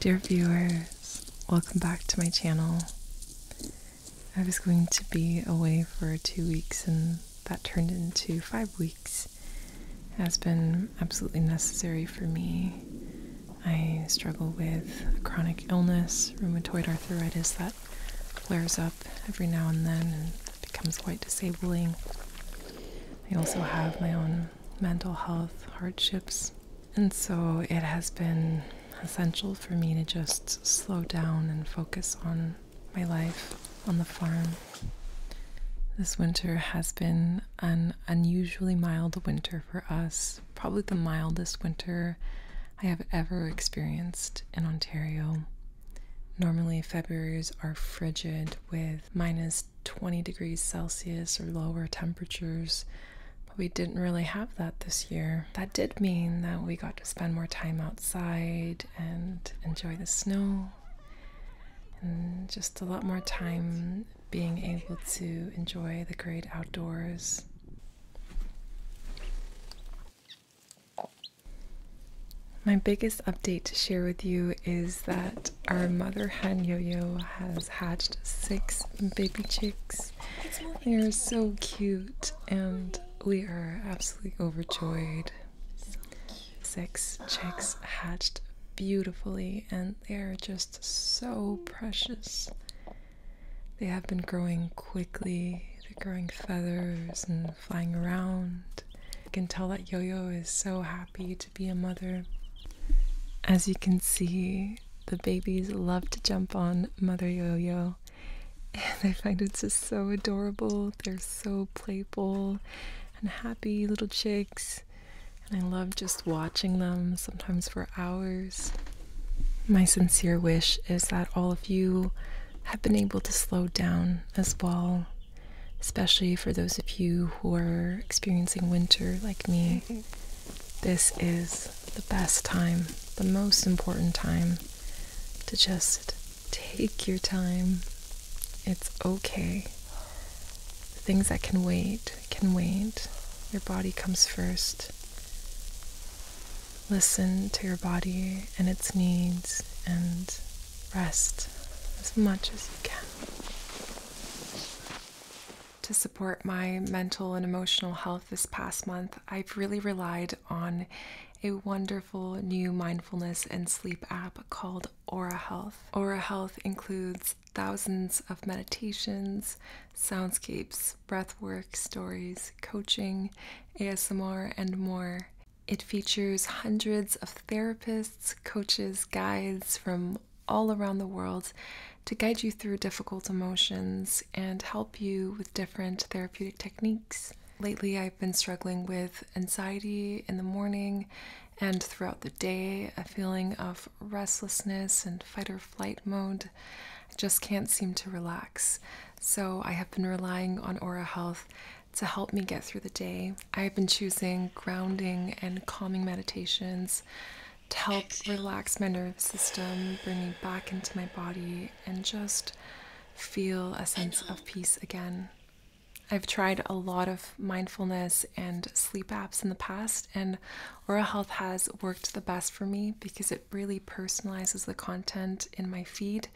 Dear viewers, welcome back to my channel. I was going to be away for two weeks and that turned into five weeks. It has been absolutely necessary for me. I struggle with a chronic illness, rheumatoid arthritis that flares up every now and then, becomes quite disabling. I also have my own mental health hardships. And so it has been essential for me to just slow down and focus on my life on the farm. This winter has been an unusually mild winter for us, probably the mildest winter I have ever experienced in Ontario. Normally, February's are frigid with minus 20 degrees Celsius or lower temperatures, but we didn't really have that this year. That did mean that we got to spend more time outside and enjoy the snow and just a lot more time being able to enjoy the great outdoors. My biggest update to share with you is that our mother hen yo yo has hatched six baby chicks. They are so cute, and we are absolutely overjoyed. Six chicks hatched beautifully, and they are just so precious. They have been growing quickly, they're growing feathers and flying around. I can tell that Yo Yo is so happy to be a mother. As you can see, the babies love to jump on Mother Yo Yo. And I find it's just so adorable. They're so playful and happy little chicks. And I love just watching them, sometimes for hours. My sincere wish is that all of you have been able to slow down as well especially for those of you who are experiencing winter like me. Mm-hmm. This is the best time, the most important time to just take your time. It's okay. things that can wait can wait. Your body comes first. Listen to your body and its needs and rest as much as you can. To support my mental and emotional health this past month, I've really relied on a wonderful new mindfulness and sleep app called Aura Health. Aura Health includes thousands of meditations, soundscapes, breathwork stories, coaching, ASMR, and more. It features hundreds of therapists, coaches, guides from all around the world to guide you through difficult emotions and help you with different therapeutic techniques. Lately, I've been struggling with anxiety in the morning and throughout the day, a feeling of restlessness and fight or flight mode. I just can't seem to relax. So, I have been relying on Aura Health to help me get through the day. I've been choosing grounding and calming meditations to help relax my nervous system, bring me back into my body, and just feel a sense of peace again. I've tried a lot of mindfulness and sleep apps in the past, and Aura Health has worked the best for me because it really personalizes the content in my feed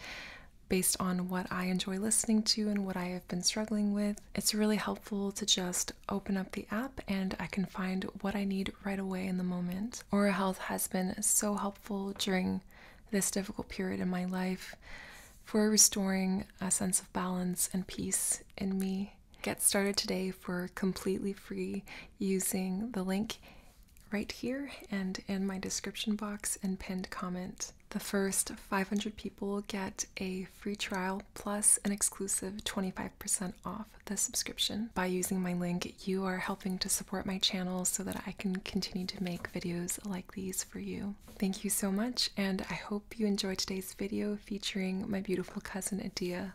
based on what I enjoy listening to and what I have been struggling with it's really helpful to just open up the app and I can find what I need right away in the moment. Aura Health has been so helpful during this difficult period in my life for restoring a sense of balance and peace in me. Get started today for completely free using the link right here and in my description box and pinned comment the first 500 people get a free trial plus an exclusive 25% off the subscription. By using my link, you are helping to support my channel so that I can continue to make videos like these for you. Thank you so much, and I hope you enjoy today's video featuring my beautiful cousin Adia.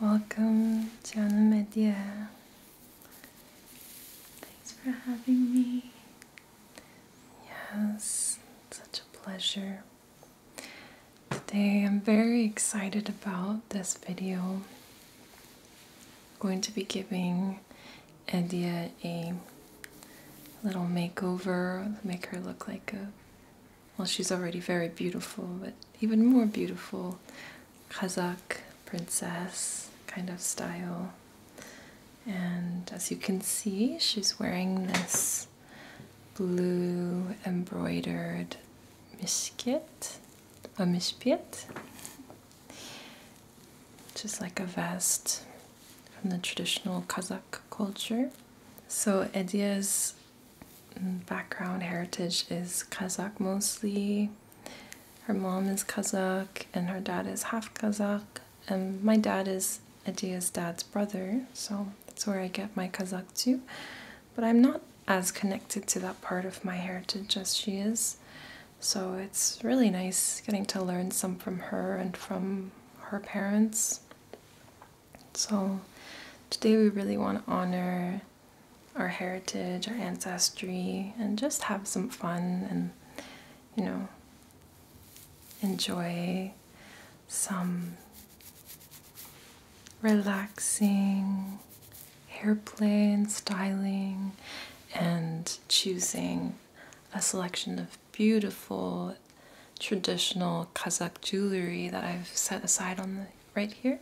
Welcome, Jana Media. Thanks for having me. Yes, such a pleasure. Today I'm very excited about this video. I'm going to be giving Edia a little makeover, make her look like a well, she's already very beautiful, but even more beautiful Kazakh princess kind of style. And as you can see, she's wearing this blue embroidered mishkit, a mishpit, just like a vest from the traditional Kazakh culture. So Edia's background heritage is Kazakh mostly. Her mom is Kazakh and her dad is half Kazakh. And my dad is Adia's dad's brother, so that's where I get my Kazakh too. But I'm not as connected to that part of my heritage as she is. So it's really nice getting to learn some from her and from her parents. So today we really want to honor our heritage, our ancestry, and just have some fun and, you know, enjoy some relaxing hairplay and styling and choosing a selection of beautiful traditional Kazakh jewelry that I've set aside on the right here.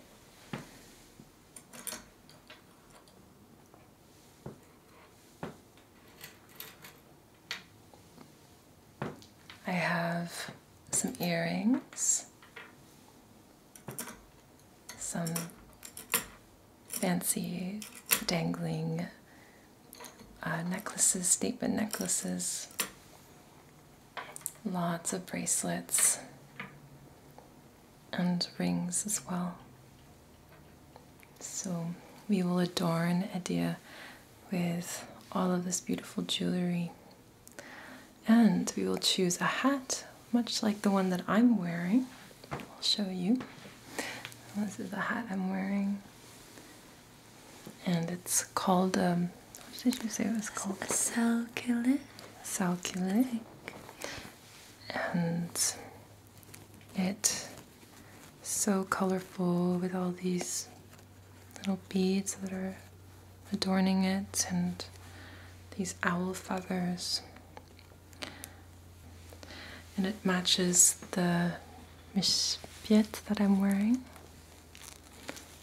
I have some earrings, some fancy dangling uh, necklaces, statement necklaces, Lots of bracelets and rings as well. So we will adorn Adia with all of this beautiful jewelry. And we will choose a hat, much like the one that I'm wearing. I'll show you. This is the hat I'm wearing. And it's called um, what did you say it was called? Salculate. Salculate. And it's so colorful with all these little beads that are adorning it and these owl feathers. And it matches the mispiet that I'm wearing.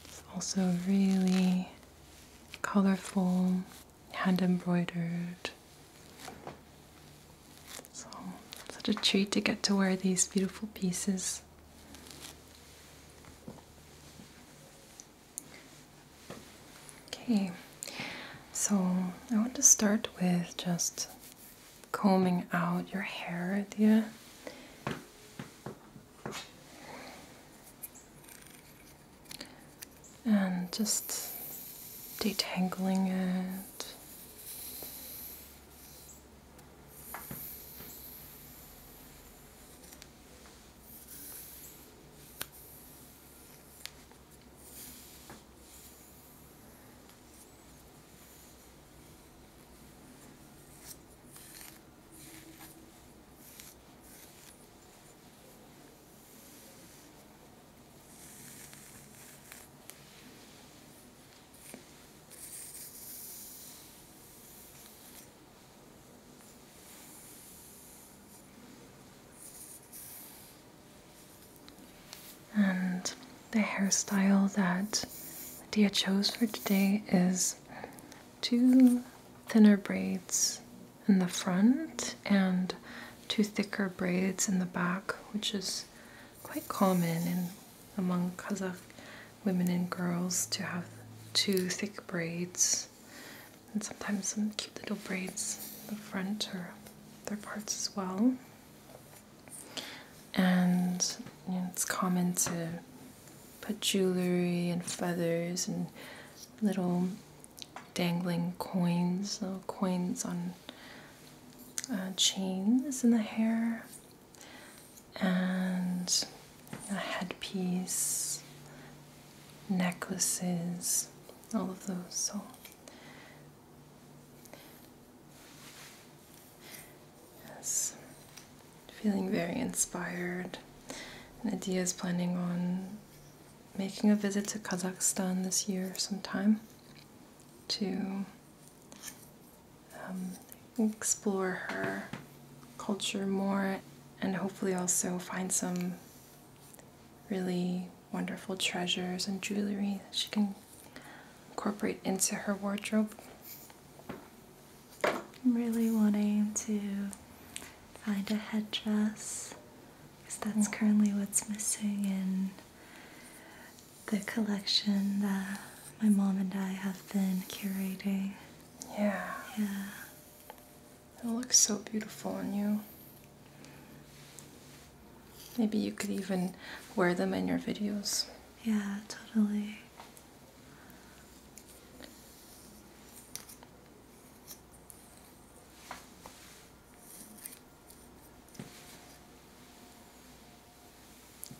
It's also really colorful, hand embroidered. So, such a treat to get to wear these beautiful pieces. Okay, so I want to start with just combing out your hair idea and just detangling it. And the hairstyle that Dia chose for today is two thinner braids in the front and two thicker braids in the back, which is quite common among Kazakh women and girls to have two thick braids and sometimes some cute little braids in the front or other parts as well. And it's common to put jewelry and feathers and little dangling coins, little coins on uh, chains in the hair, and a headpiece, necklaces, all of those. Yes feeling very inspired. Nadia is planning on making a visit to Kazakhstan this year sometime to um, explore her culture more and hopefully also find some really wonderful treasures and jewelry she can incorporate into her wardrobe. I'm really wanting to find a headdress because that's currently what's missing in the collection that my mom and I have been curating. Yeah. Yeah. It looks so beautiful on you. Maybe you could even wear them in your videos. Yeah, totally.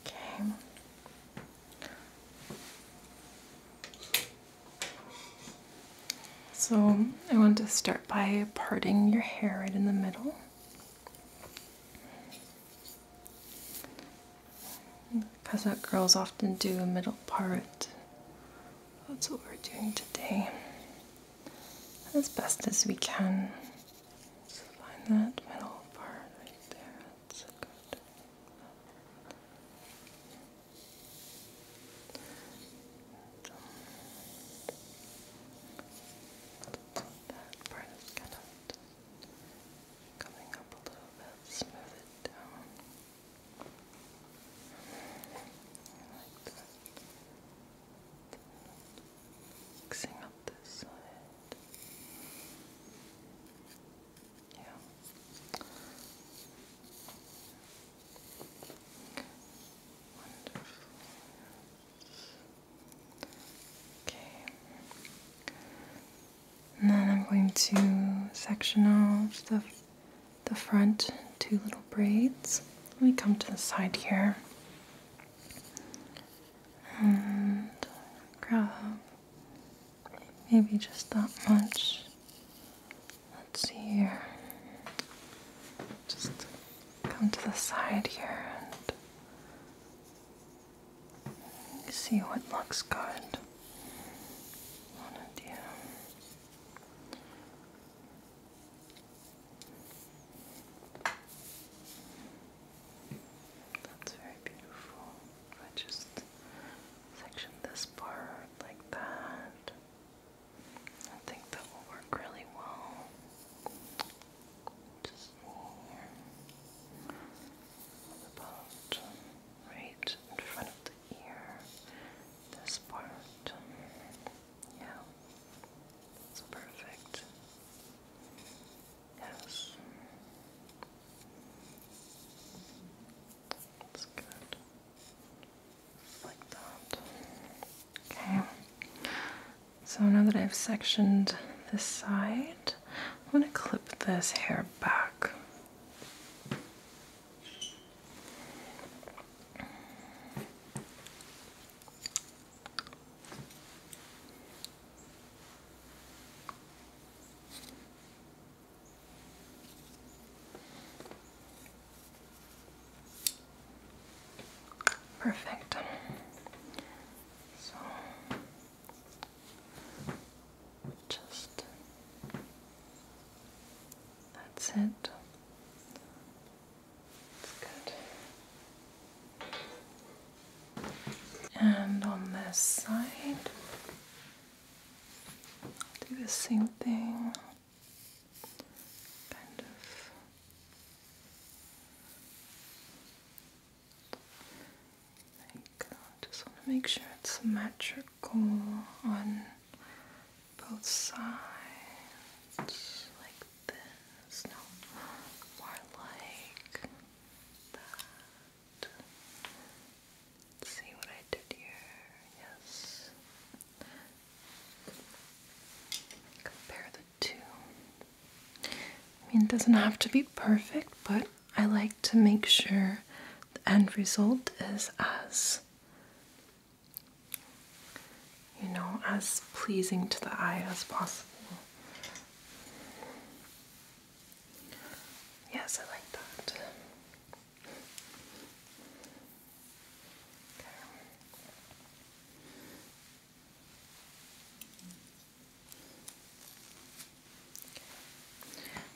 Okay. So I want to start by parting your hair right in the middle. Because that girls often do a middle part. That's what we're doing today. As best as we can. So find that middle part right there. That's good. That part is kind coming up a little bit. Smooth it down. Mixing up this side. Yeah. Wonderful. Okay. And then I'm going to section off the the front two little braids. Let me come to the side here and grab maybe just that much. Let's see here. Just come to the side here and see what looks good. Wanna that's very beautiful. I just section this part like that. I think that will work really well. Just here. About right in front of ear, this part. Yeah, that's perfect. Yes. That's good. Like that. Okay. So now that I've sectioned this side, I'm going to clip this hair back. Perfect. So just that's it. That's good. And on this side, do the same thing. Kind of there Just want to make sure it's symmetrical circle on both sides, like this. No, more like that. see what I did here. Yes. Compare the two. I mean, it doesn't have to be perfect, but I like to make sure the end result is as you know, as pleasing to the eye as possible. Yes, I like that.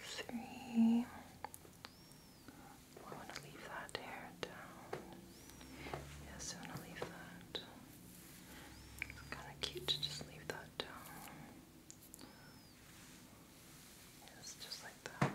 three. I want to leave that hair down. Yes, I want to leave that. It's kind of cute to just leave that down. Yes, just like that. Perfect.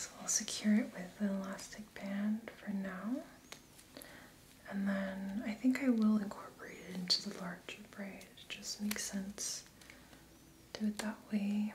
So I'll secure it with the elastic band for now. And then I think I will incorporate it into the larger braid. It just makes sense. Do it that way.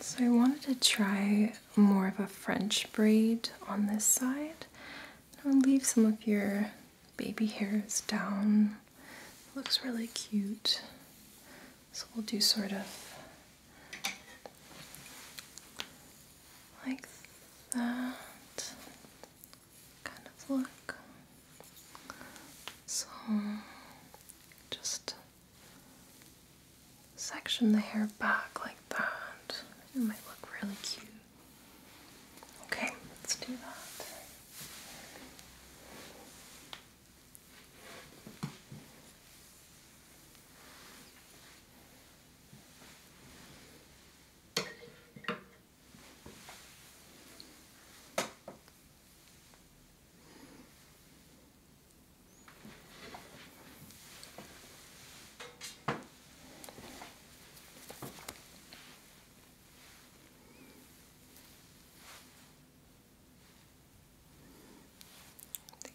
So I wanted to try more of a French braid on this side. I'll leave some of your baby hairs down. looks really cute. So we'll do sort of like that kind of look. So just section the hair back like that. It might look really cute. Okay, let's do that.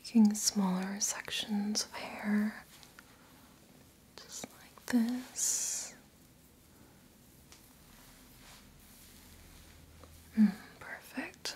Taking smaller sections of hair, just like this. Mm, perfect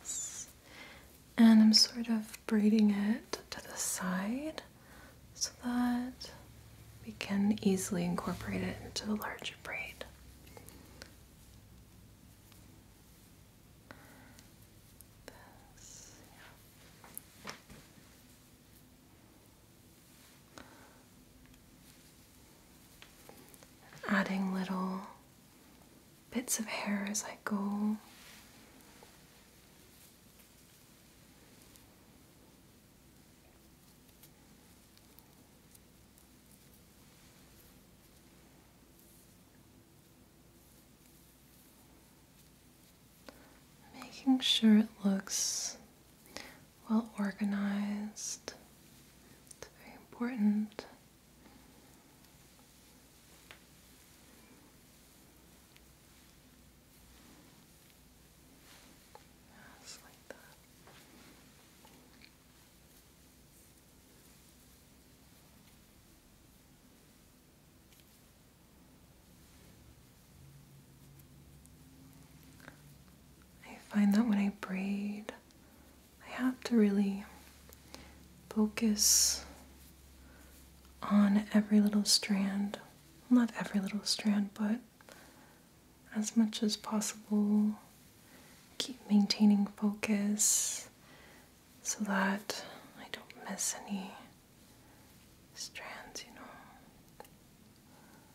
Yes. And I'm sort of braiding it to the side so that we can easily incorporate it into the larger braid adding little bits of hair as I go making sure it looks well organized. It's very important. Just like that. I find that when I braid, I have to really focus on every little strand. Not every little strand, but as much as possible, keep maintaining focus so that I don't miss any strands, you know.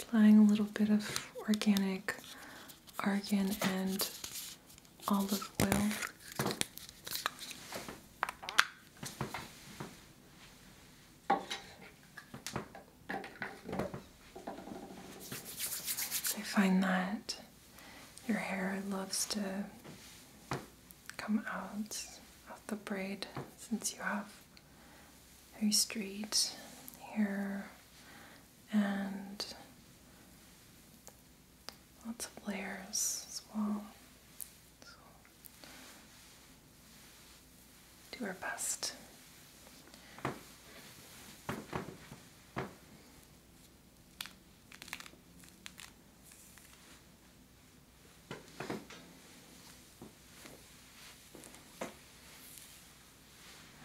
Applying a little bit of organic argan and olive oil. I find that your hair loves to come out of the braid since you have very straight hair and lots of layers as well. So do our best.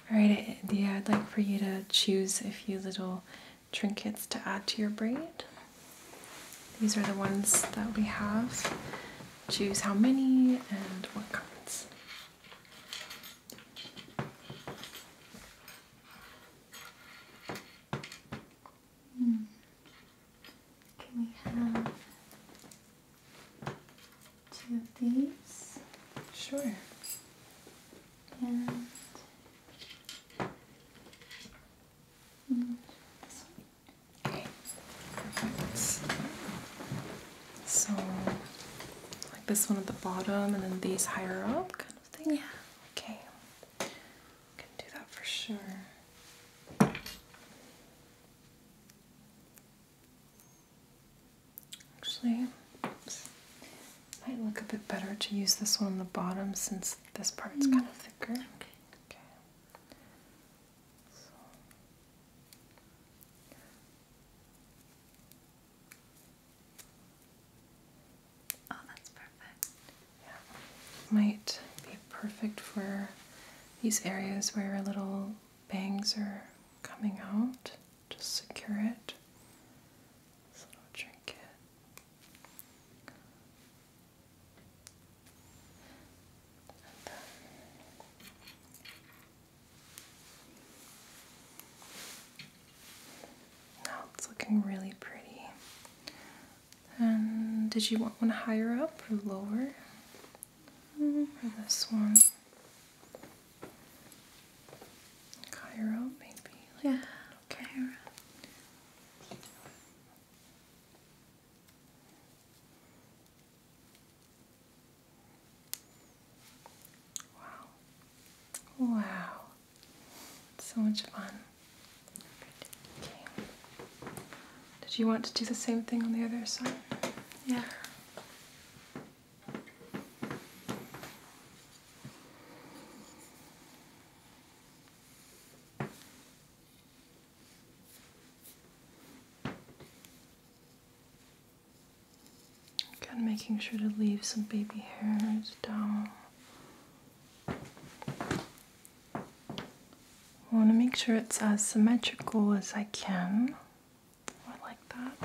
All right, India, I'd like for you to choose a few little trinkets to add to your braid. These are the ones that we have. Choose how many and what kinds. Hmm. Can we have two of these? Sure. And so, like this one at the bottom, and then these higher up, kind of thing. Yeah. Okay, can do that for sure. Actually, might look a bit better to use this one on the bottom since this part's mm. kind of thicker. Okay. Okay. Oh, that's perfect. Yeah. Might be perfect for these areas where little bangs are coming out. Just secure it. This little trinket. Now it's looking really pretty. And did you want one higher up or lower? Mm, this one? Higher up, maybe. yeah, okay. Wow. Wow. So much fun. Okay. Did you want to do the same thing on the other side? Yeah. Again, making sure to leave some baby hairs down. I want to make sure it's as symmetrical as I can. I like that.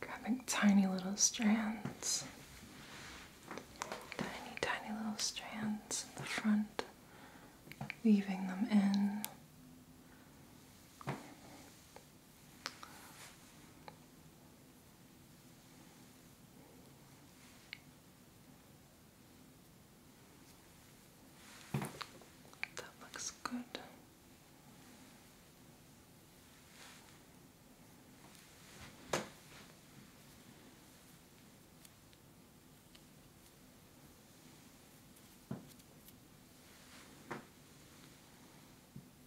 Grabbing tiny little strands, tiny, tiny little strands in the front, leaving them in. That looks good.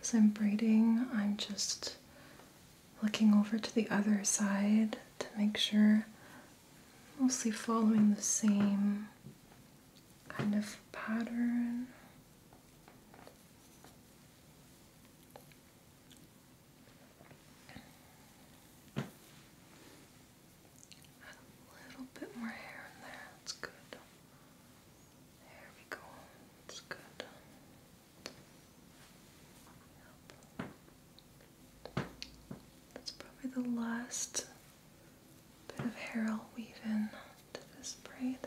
As I'm braiding, I'm just looking over to the other side to make sure, mostly following the same kind of pattern. a little bit more hair in there, that's good. There we go, that's good. That's probably the last bit of hair I'll weave in to this braid.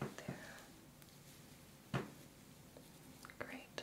Right there. Great.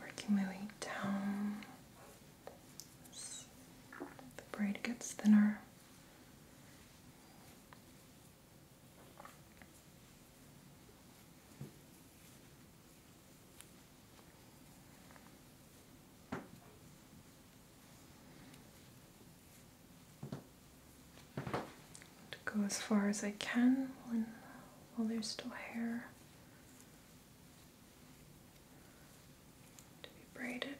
Working my way down the braid gets thinner. To go as far as I can while there's still hair to be braided.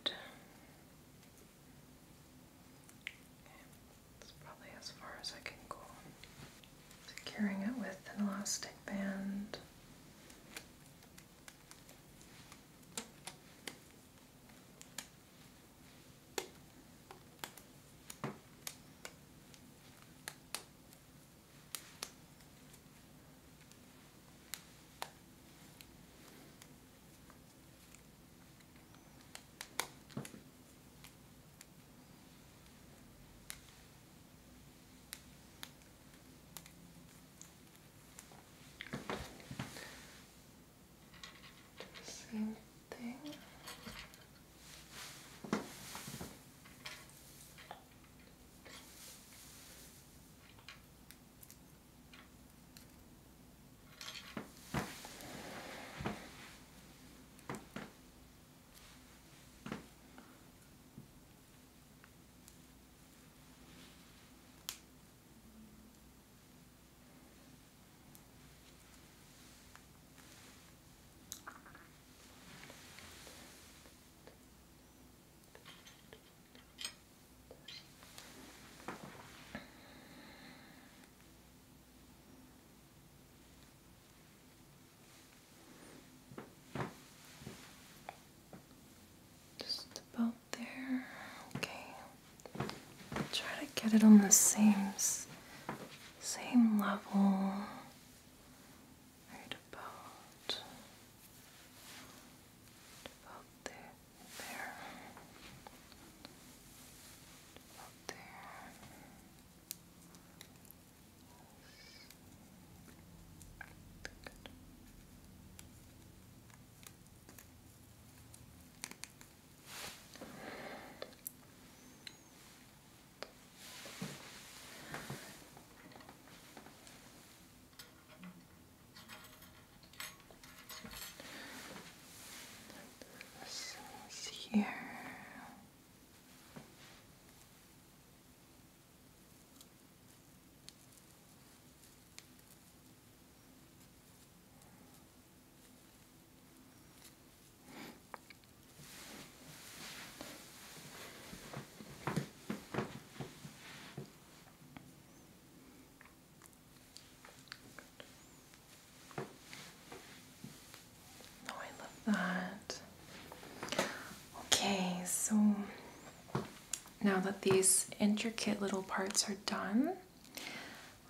Okay, that's probably as far as I can go. Securing it with an elastic band the same thing. Just about there. Okay. try to get it on the seams same level, right about, about there, there, about there. This is here. No, oh, I love that. Okay, so now that these intricate little parts are done,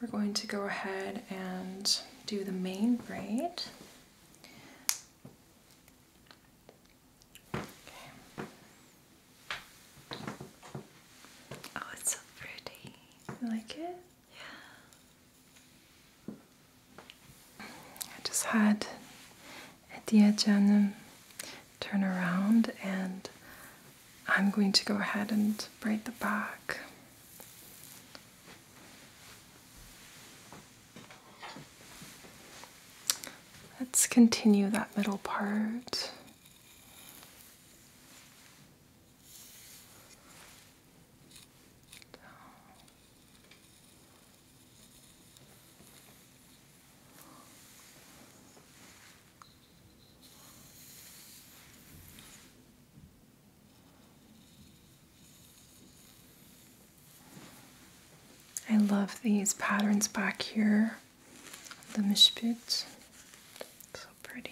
we're going to go ahead and do the main braid. Oh, it's so pretty. You like it? Yeah. I just had Etia Janum turn around and I'm going to go ahead and braid the back. Let's continue that middle part. I love these patterns back here, the mishpit. So pretty.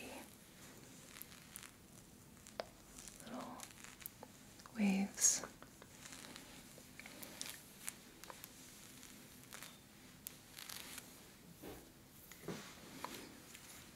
Little waves.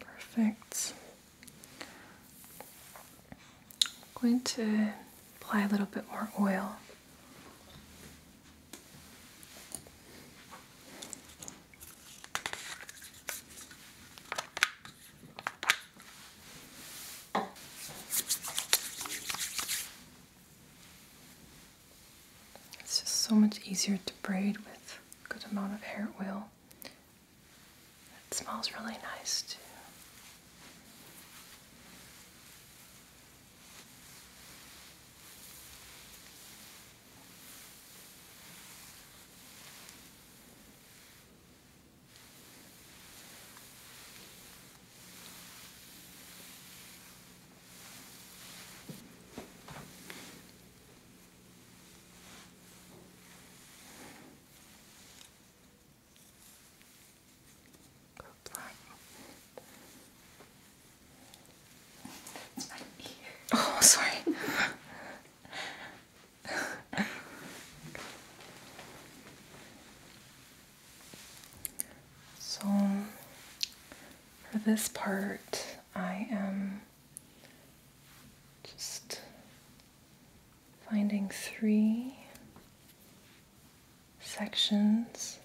Perfect. I'm going to apply a little bit more oil. It's just so much easier to braid with a good amount of hair oil. It smells really nice too. Oh, sorry. so, for this part, I am just finding three sections.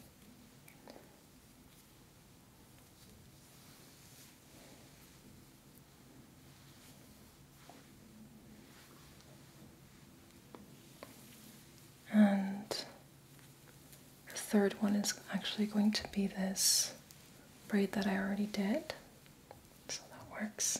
And the third one is actually going to be this braid that I already did. So that works.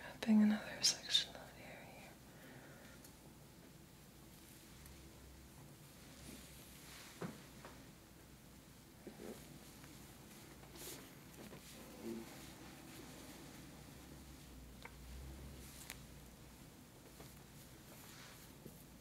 Wrapping another section of the hair here.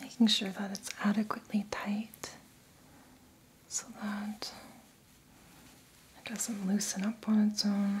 Making sure that it's adequately tight so that it doesn't loosen up on its own.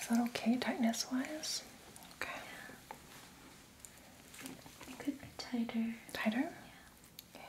Is that okay, tightness wise? Okay. It could be tighter. Tighter? Yeah. Okay.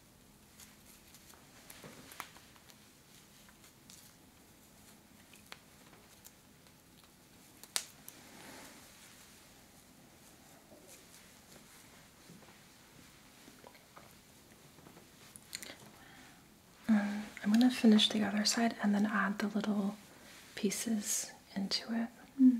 Um, I'm going to finish the other side and then add the little pieces into it. Hmm.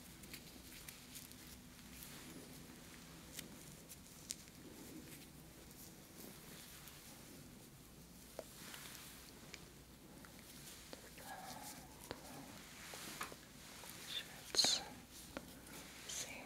Schwarz. Same.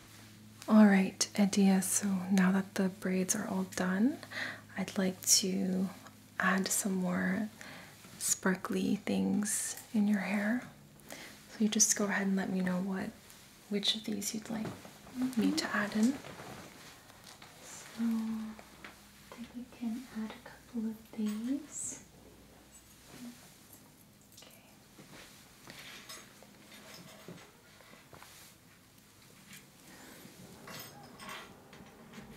All right, Edia, so now that the braids are all done, I'd like to add some more sparkly things in your hair. So you just go ahead and let me know what which of these you'd like me to add in. So I think we can add a couple of these. Okay.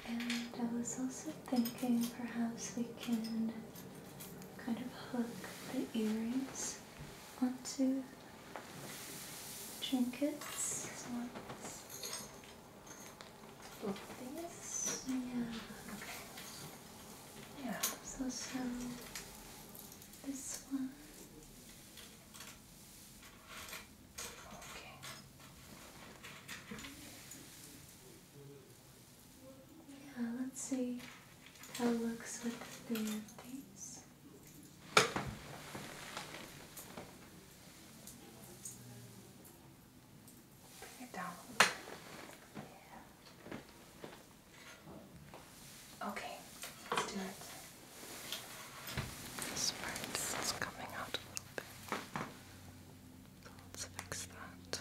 And I was also thinking perhaps we can kind of hook the earrings onto trinkets. So like this. Yeah. Yeah. So this one. Yeah, let's see how it looks with the these. Bring it down Yeah. Okay, let's do it. This part is coming out a little bit. let's fix that.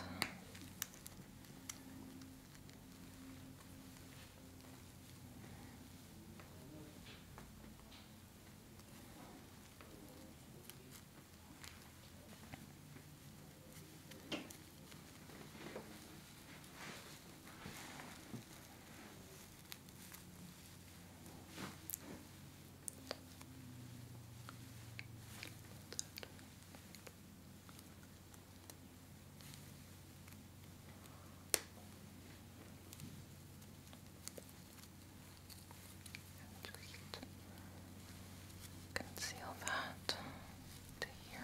Just conceal that to here.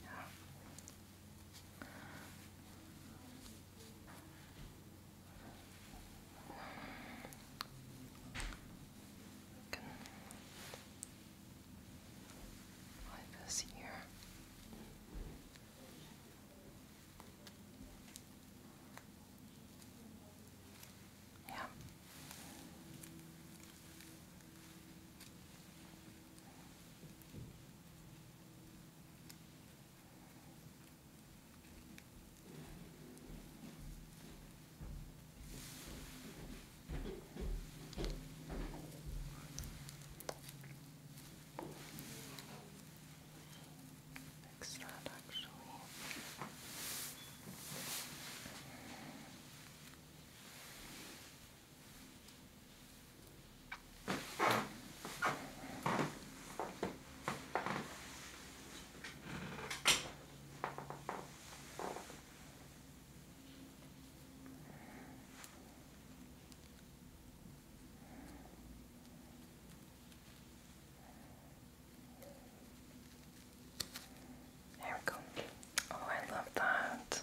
Yeah. Can wipe this here. Yeah. Fix that actually. Okay. There we go. Oh, I love that.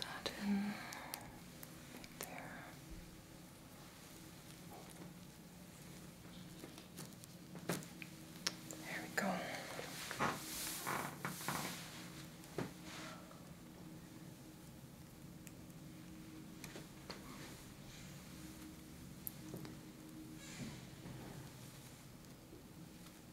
Tuck that There we go.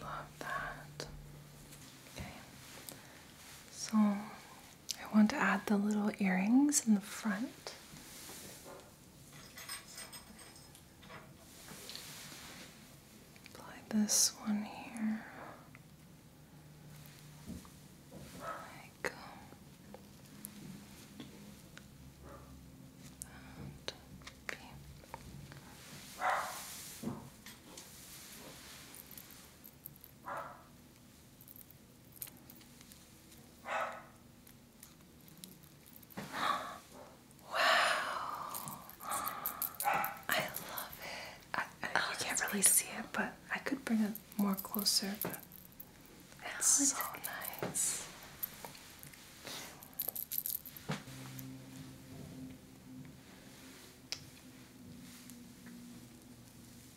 Love that. Okay. So I want to add the little earrings in the front. Apply this one here. Like that. Um, okay. I love it. I, can't really see it, but I could bring it more closer. Oh, it's so nice.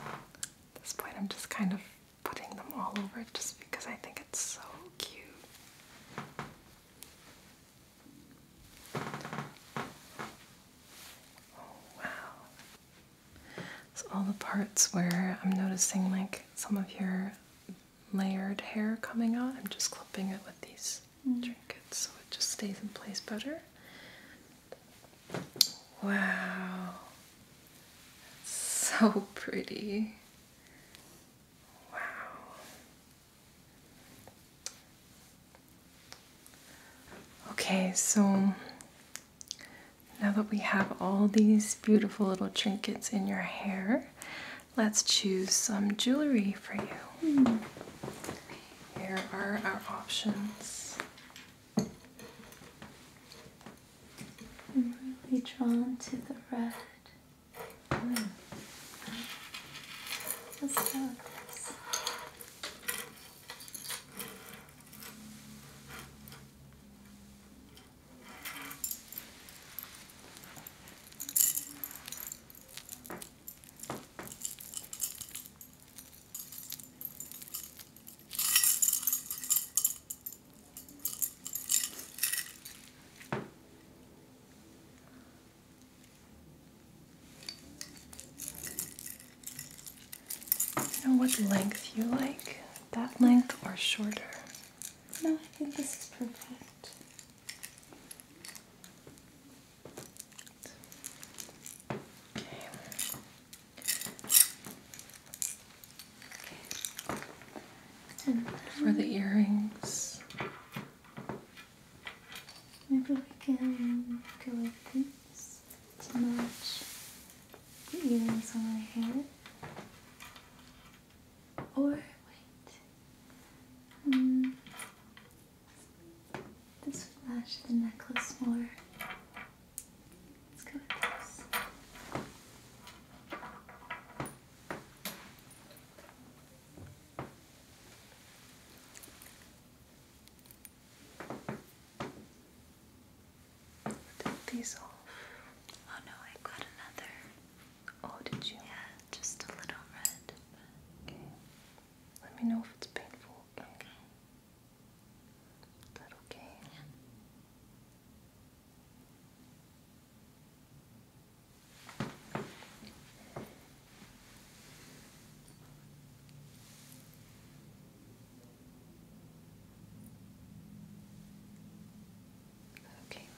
At this point, I'm just kind of putting them all over just because I think it's so cute. Oh, wow. So all the parts where I'm noticing like some of your layered hair coming out. I'm just clipping it with these mm. trinkets so it just stays in place better. Wow, so pretty. Wow. Okay, so now that we have all these beautiful little trinkets in your hair, Let's choose some jewelry for you. Here are our options. I'm really drawn to the red. Mm. let and what length you like, that length or shorter. No, I think this is perfect. Okay. for the earrings, maybe we can go with these to match the earrings on my hair. Or wait. Hmm. this would match the necklace more. Let's go with this. Take these off. Oh no, I got another Oh, did you? Yeah, just a little red. Okay. Let me know if it's painful. Okay. okay. Okay.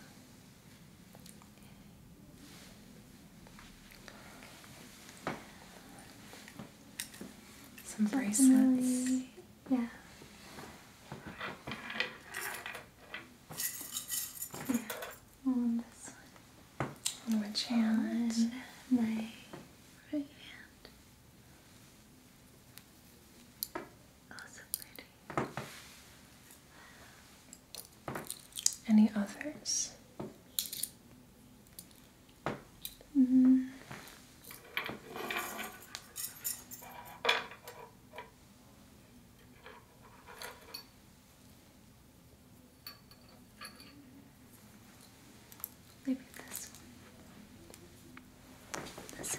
Some bracelets. Yeah. On this one. On which hand? my right hand. Any others? Mm-hmm. Maybe this one.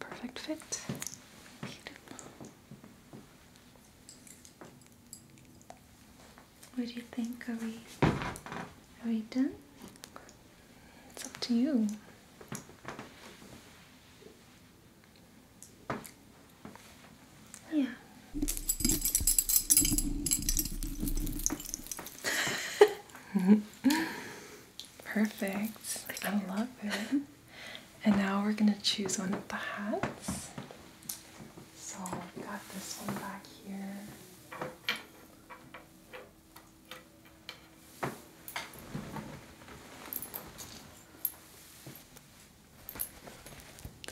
Perfect fit. What do you think? Are we are we done? It's up to you. Yeah. Perfect. I love it. And now we're going to choose one of the hats. So I've got this one back here.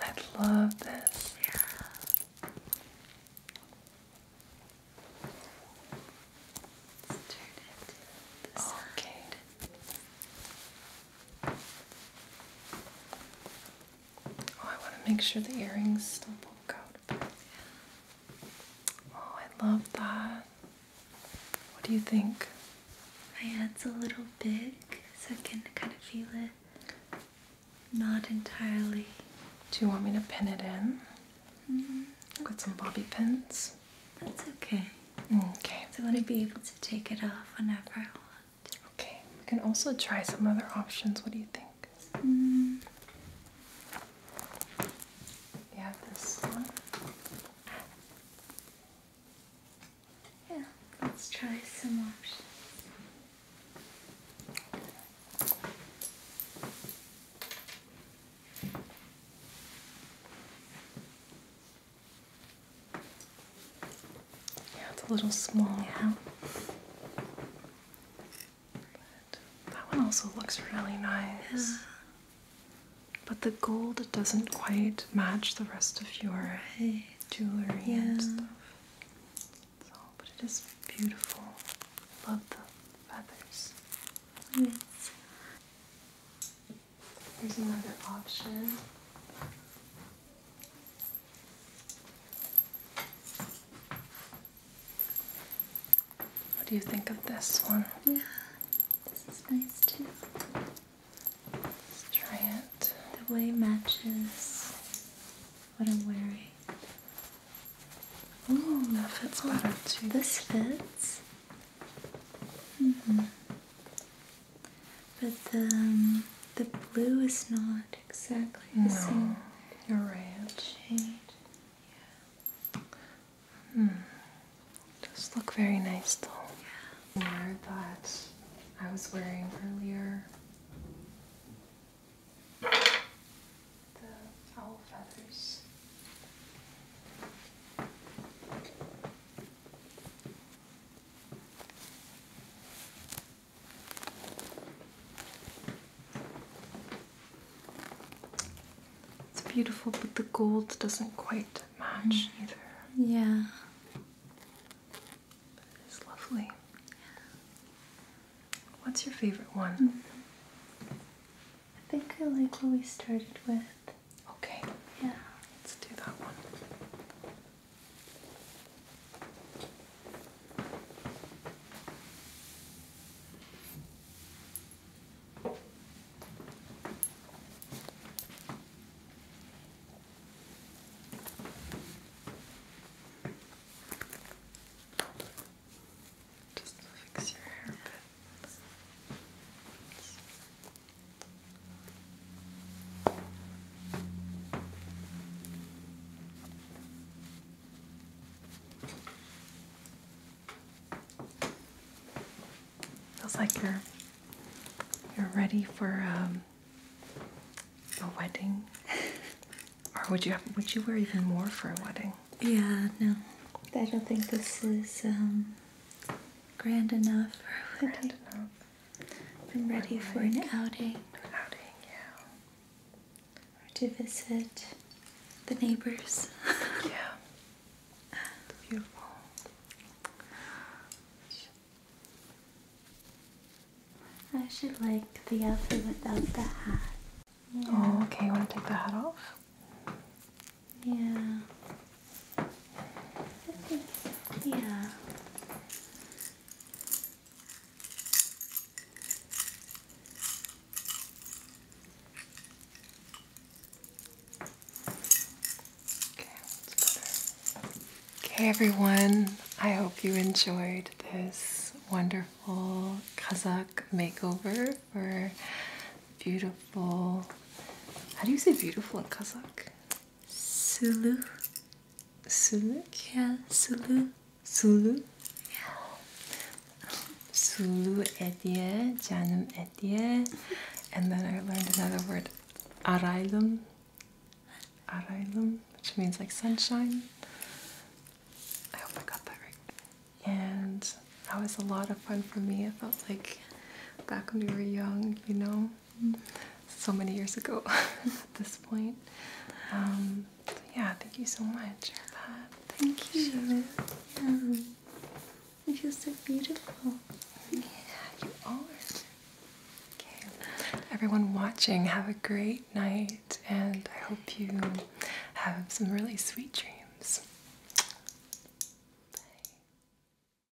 I love this. Yeah. turn it. This okay. Oh, I want to make sure the earrings still poke out. Oh, I love that. What do you think? My head's a little big, so I can kind of feel it. Not entirely. Do you want me to pin it in? Mm Got some bobby pins. That's okay. Okay. So I want to be able to take it off whenever I want. Okay. We can also try some other options. What do you think? Mm. Yeah, this one. Yeah, let's try some options. Yeah, it's a little small now. that one also looks really nice. Yeah. But the gold doesn't quite match the rest of your jewelry and stuff. So, but it is beautiful. Love the feathers. Here's another option. What do you think of this one? Yeah, this is nice too. Let's try it. The way matches what I'm wearing. Ooh, that fits better oh, too. This fits. -hmm. But the um, the blue is not exactly the same. You're right. Shade. Yeah. Hmm. Does look very nice though. Yeah. More that I was wearing earlier. The owl feathers. It's beautiful, but the gold doesn't quite match mm. either. Yeah. it's lovely. What's your favorite one? Mm. I think I like what we started with. Okay. Yeah. Let's do that one. Just fix your hair bit. Feels like you're you're ready for um, a wedding, or would you would you wear even more for a wedding? Yeah, no, I don't think this is um, grand enough I'm ready for an outing. outing, yeah. Or to visit the neighbors. yeah. beautiful. I should like the outfit without the hat. Oh, okay. You want to take the hat off? Yeah. I yeah. Okay, everyone, I hope you enjoyed this wonderful Kazakh makeover for beautiful. How do you say beautiful in Kazakh? Sulu, Sulu, yeah, Sulu, Sulu, yeah. Sulu Edie, Janum Edie, and then I learned another word, Arailum, Arailum, which means like sunshine. I hope I got that right. And that was a lot of fun for me. It felt like back when we were young, you know, so many years ago at this point. Um, yeah, thank you so much. Thank you. You feel so beautiful. Yeah, you are. Okay. Everyone watching, have a great night, and I hope you have some really sweet dreams. Bye.